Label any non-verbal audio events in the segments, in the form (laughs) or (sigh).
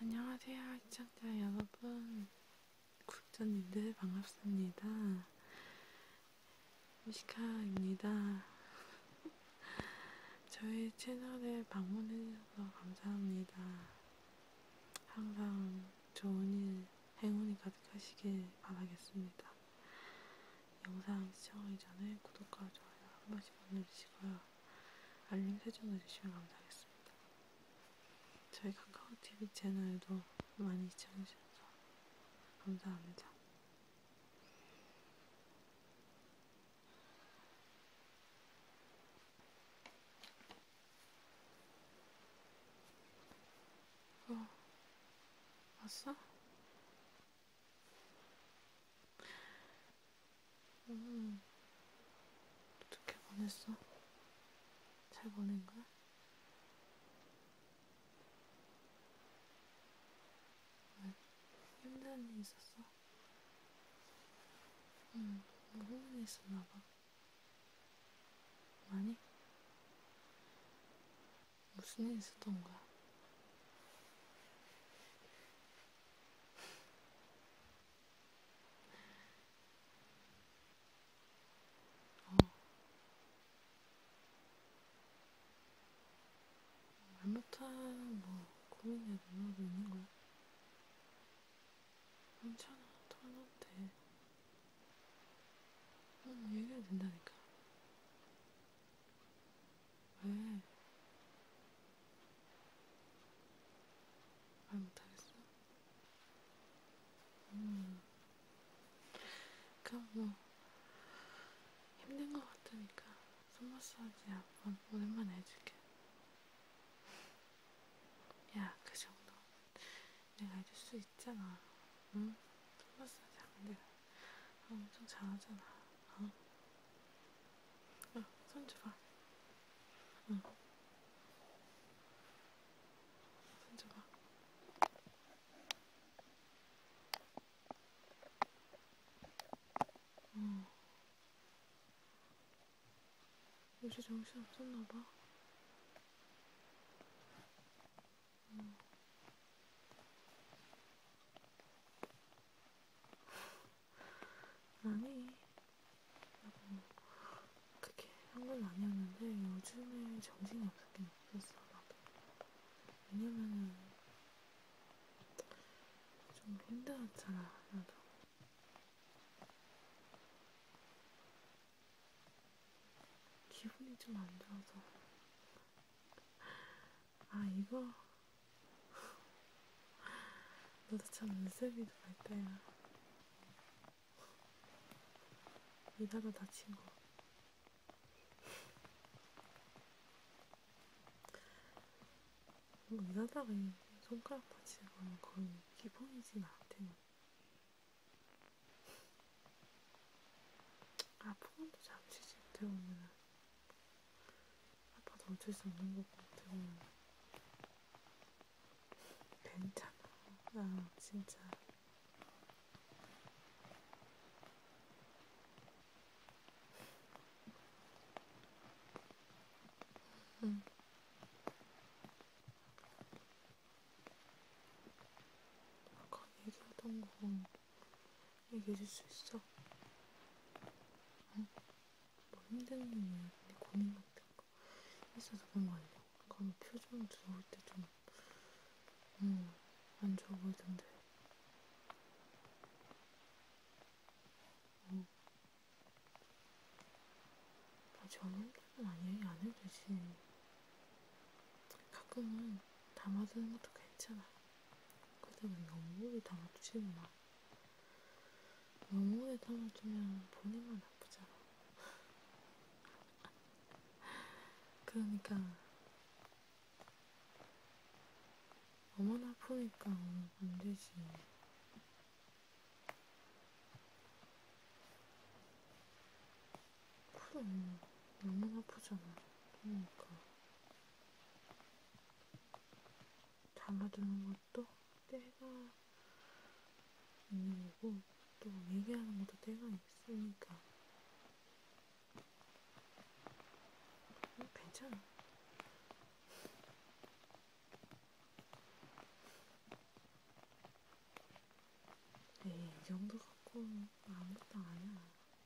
안녕하세요, 시청자 여러분. 국전님들 반갑습니다. 미시카입니다. 저희 채널에 방문해주셔서 감사합니다. 항상 좋은 일, 행운이 가득하시길 바라겠습니다. 영상 시청하기 전에 구독과 좋아요 한 번씩 눌러주시고요. 알림 설정 해주시면 감사하겠습니다. 저희 카카오TV 채널도 많이 시청해주셔서 감사합니다. 어, 왔어? 음, 어떻게 보냈어? 잘 보낸 거야? 힘든 일 있었어? 응, 뭐 힘든 일 있었나봐. 많이? 무슨 일 있었던 거야? 어, 말 못한 뭐 고민해 누나도 있는 거야? 괜찮아, 털어도 돼. 넌 얘기해도 된다니까. 왜? 말 못하겠어? 음, 그럼 뭐. 힘든 것 같으니까 손 마사지 한번 오랜만에 해줄게. 야, 그 정도 내가 해줄 수 있잖아. 응? 손 마사지 하면 내가 아, 엄청 잘하잖아. 어? 야, 손 줘봐. 응. 손 줘봐. 어. 요새 정신 없었나봐. 어. 음. 아니, 나도 음, 그렇게 한 건 아니었는데 요즘에 정신이 없었긴 했어 나도. 왜냐면은 좀 힘들었잖아 나도. (laughs) 기분이 좀 안 좋아서. 아 이거 (laughs) 너도 참 눈썹이 밝다야. 이다가 다친 거뭐 일하다가 손가락 다치는 건 거의 기본이지 나한테는. 아프건도 잠시 집 들어오면 아파도 어쩔 수 없는 거고 들어오면 괜찮아. 나 아, 진짜 응. 아까 얘기하던 거 얘기해줄 수 있어? 응? 뭐 힘든 일, 내 고민 같은 거 있어서 그런 거 아니야? 그럼 표정 들어올 때좀 음, 안 좋아 보이던데. 음. 아, 저는 아니에요. 안 해도 되지. 가끔은 담아두는 것도 괜찮아. 근데 왜 너무 오래 담아두지 마. 너무 오래 담아두면 본인만 나쁘잖아. (laughs) 그러니까 어머나 아프니까 안 되지. 그럼, 너무 아프잖아. 그러니까. 달라드는 것도 때가 있는 거고, 또 얘기하는 것도 때가 있으니까. 음, 괜찮아. 에이, 네, 이 정도 갖고 아무것도 아니야.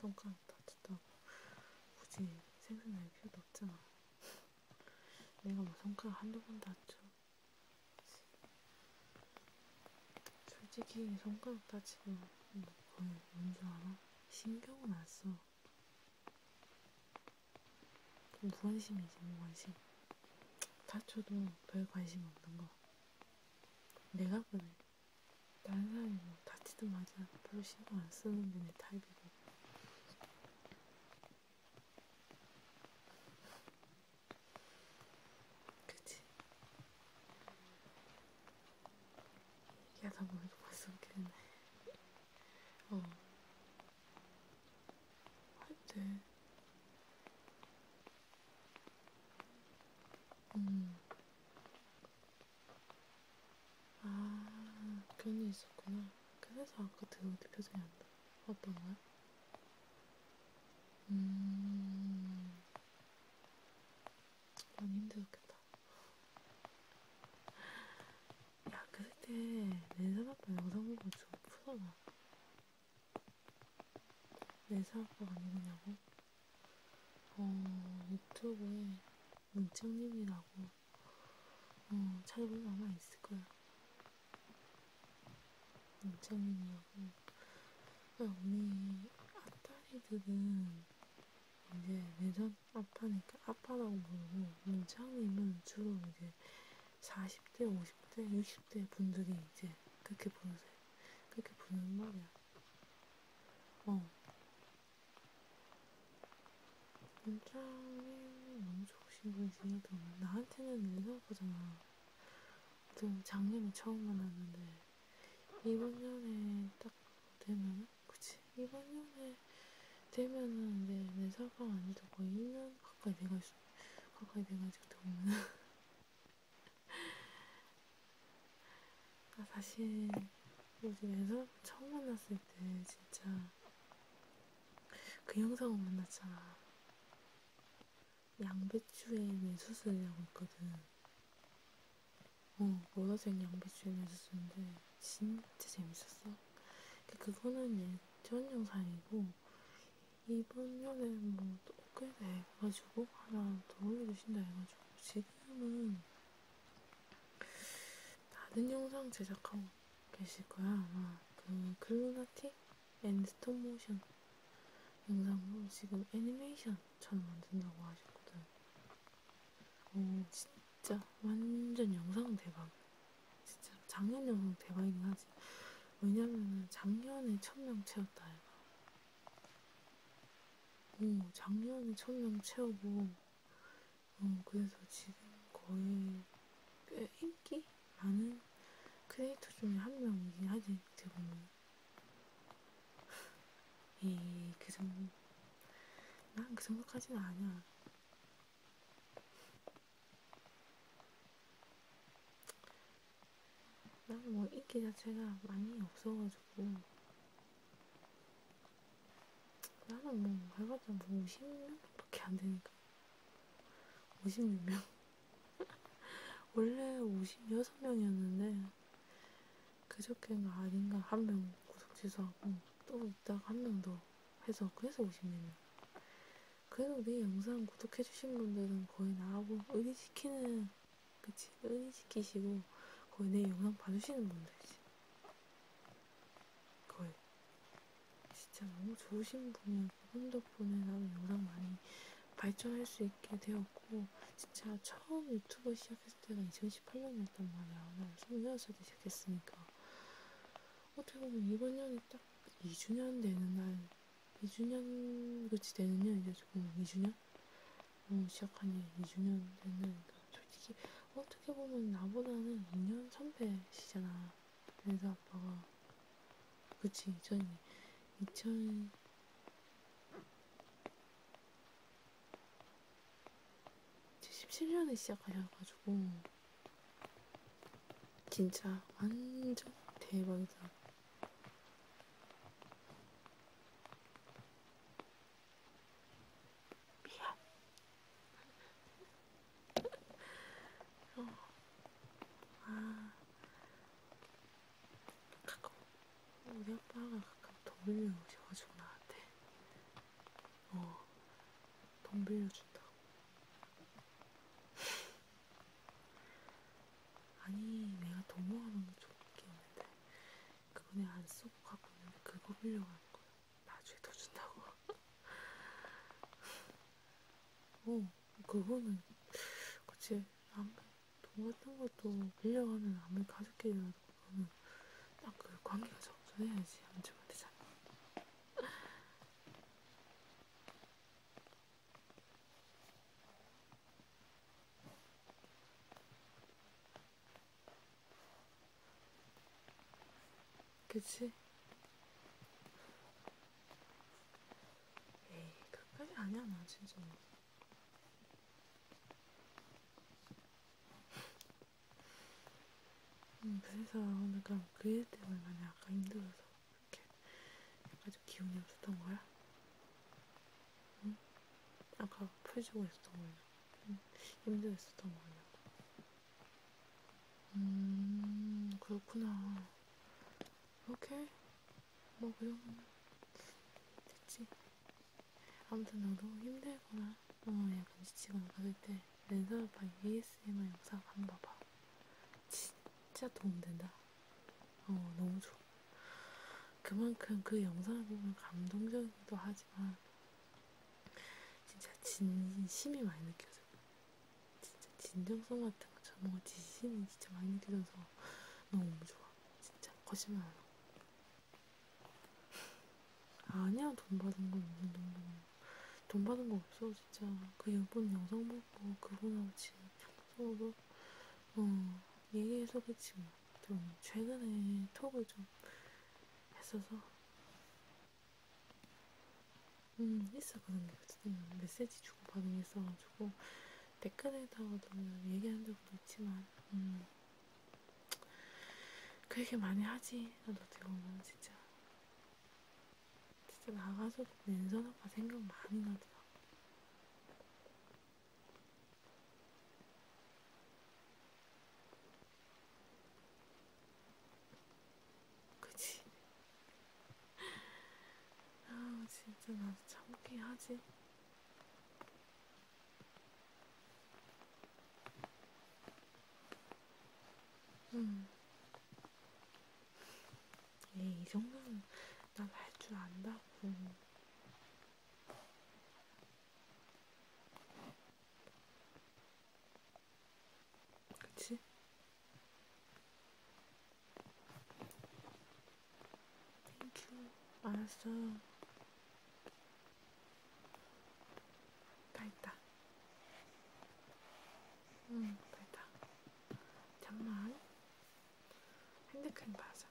손가락 다쳤다고 굳이 생각날 필요도 없잖아. 내가 뭐 손가락 한두 번 다쳐. 솔직히 손가락 다치고 거의 뭔줄 알아? 신경은 안 써. 좀 무관심이지 무관심. 다쳐도 별 관심 없는 거. 내가 그래. 다른 사람이 뭐 다치든 말든 별로 신경 안 쓰는 게 내 타입이고. 그치? 얘기하다 보니까 벌써 웃기네. 어. 하여튼. 음. 아, 그런 일 있었구나. 그래서 아까 들어오때 그 표정이 안 나. 어떤 거야? 음. 너무 힘들었겠다. 야, 그때 내사아빠 영상 보고 좀 푸잖아. 내사아빠가 누구냐고? 어, 유튜브에 문청님이라고 어, 찾아보면 아마 있을 거야. 문청님이요. 언니 아따리들은 이제 내전 아빠니까 아빠라고 부르고 문창님은 주로 이제 40대, 50대, 60대 분들이 이제 그렇게 부르세요. 그렇게 부르는 말이야. 어. 문창님 너무 좋으신 분이시더라. 나한테는 내전 아빠잖아. 좀 장님이 처음 만났는데 이번 년에 딱 되면은, 그치? 이번 년에 되면은 내, 내 사방 아니도 거의 1년 가까이 돼가지고, 가까이 돼가지고 들어오면은. 아, 사실, 요즘에서 처음 만났을 때 진짜 그 영상을 만났잖아. 양배추에 매수술이라고 있거든. 어, 보라색 양배추에 매수술인데 진짜 재밌었어. 그거는 예전 영상이고 이번 년에 뭐또 업그레이드 해가지고 하나 더 올려주신다 해가지고 지금은 다른 영상 제작하고 계실 거야 아마 그 클루나틱 앤 스톱모션 영상으로 지금 애니메이션처럼 만든다고 하셨거든. 오, 진짜 완전 영상 대박. 진짜 작년 영상 대박이긴 하지. 왜냐면은 작년에 천명 채웠다 얘가. 오, 작년에 천명 채우고, 어, 그래서 지금 거의 꽤 인기 많은 크리에이터 중에 한 명이긴 하지, 어떻게 보면. 이그 정도 난 그 정도까지는 아니야. 나는 뭐 인기 자체가 많이 없어가지고 나는 뭐 해봤자 뭐 50명밖에 안 되니까 56명 (laughs) 원래 56명이었는데 그저께가 아닌가 한 명 구독 취소하고 또 있다가 한 명 더 해서 그래서 56명 그래도 내 네 영상 구독해주신 분들은 거의 나하고 의리시키는 그치 의리시키시고 거의 내 영상 봐주시는 분들이지 거의 진짜 너무 좋으신 분이야 부분 덕분에 나는 요랑 많이 발전할 수 있게 되었고 진짜 처음 유튜브 시작했을 때가 2018년이었단 말이야. 난 26살 때 시작했으니까 어떻게 보면 이번 년이 딱 2주년 되는 날 2주년 그렇지 되는 년 이제 조금 2주년? 어, 시작하니 2주년 되는 날이니까 솔직히 어떻게 보면 나보다는 2년 선배시잖아. 그래서 아빠가 그치 2000, 2000 77년에 시작하셔가지고 진짜 완전 대박이다. 미안. (laughs) 어. 아, 가끔 우리 아빠가 가끔 돈 빌려오셔가지고 나한테 어돈 빌려준다고 (laughs) 아니 내가 돈 모아놓은 게 좋겠는데 그거 내가 안 쓰고 갖고 있는데 그거 빌려가는 거야 나중에 더 준다고 (laughs) 어 그거는 그치 아무 돈 같은 것도 빌려가면 아무리 가족끼리라도 그거는 딱그 관계가 정전해야지 안주면 되잖아. 그치? 에이, 그까지 아니야, 나 진짜. 음, 그래서 내가 그일 그 때문에 많이 아까 힘들어서 이렇게 아주 기운이 없었던 거야? 응? 아까 풀주고 있었던 거야? 응? 힘들었었던 거야? 음, 그렇구나. 오케이. 뭐 그런 거 됐지. 아무튼 너도 힘들거나 어 약간 지치거나 그럴 때 랜선 아빠 ASMR 영상 한번 봐봐. 진짜 도움된다. 어 너무 좋아. 그만큼 그 영상을 보면 감동적이기도 하지만 진짜 진심이 많이 느껴져. 진짜 진정성 같은 거 저보고 지신이 진짜 많이 느껴져서 너무 좋아. 진짜 거짓말 안 하고. 아니야 돈 받은 건 무슨 돈 받은 거. 돈 받은 거 없어 진짜. 그 일본 영상 보고 그분하고 지금 서로 어 얘기해서 그치 뭐. 좀 최근에 톡을 좀 했어서 음, 있었거든요. 메시지 주고받은 게 있어가지고, 댓글에다가도 얘기한 적도 있지만, 음, 그 얘기 많이 하지. 나도 어떻게 보면 진짜. 진짜 나가서 민선 오빠 생각 많이 나더라. 그치? (laughs) 아 진짜 나도 참긴 하지. 음. 에이, 예, 이 정도는 난 할 줄 안다고. 음. 그치? 땡큐. 알았어. 다 있다. 응, 음, 다 있다. 잠만. 핸드크림 바르자.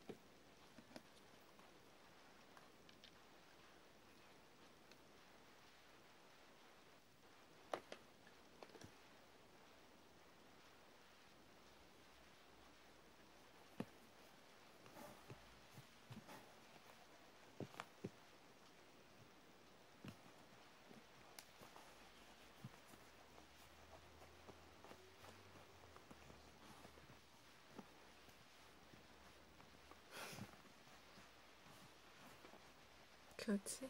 교지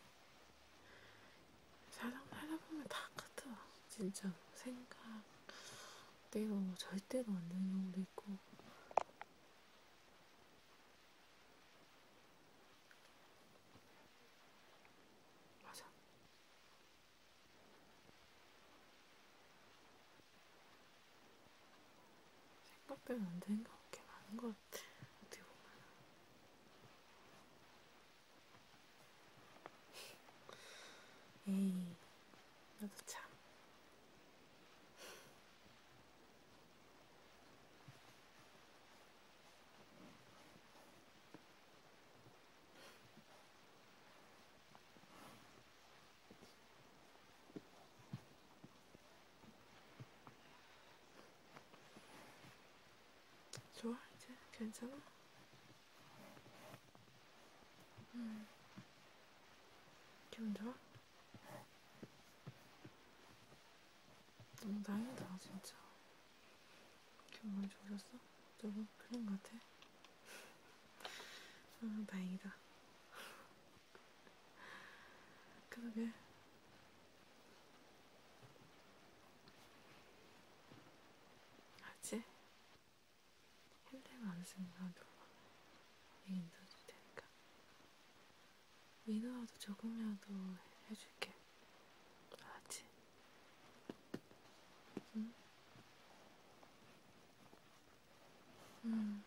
사장 팔아보면 다 같아. 진짜 생각대로 절대로 안 되는 경우도 있고. 맞아. 생각대로 안 되는 경우가 많은 것 어떻게 보면 에이 나도 참 좋아 이제 괜찮아? 음 기분 좋아? 너무 다행이다 진짜 기분 많이 좋아졌어? 너무 그런 것 같아? 아 다행이다 (laughs) 그러게 아직 핸드만 생각으로 얘긴 들어줄 테니까. 민호라도 조금이라도 해줄게. 알았지? 응? 응.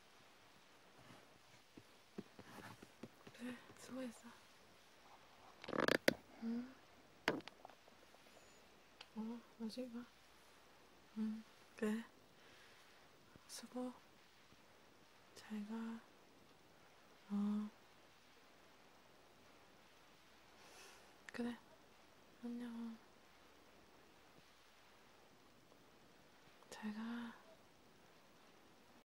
그래, 수고했어. 응. 어, 나중에 봐. 응, 그래. 수고. 잘 가. 어. 그래. 안녕. 잘 가.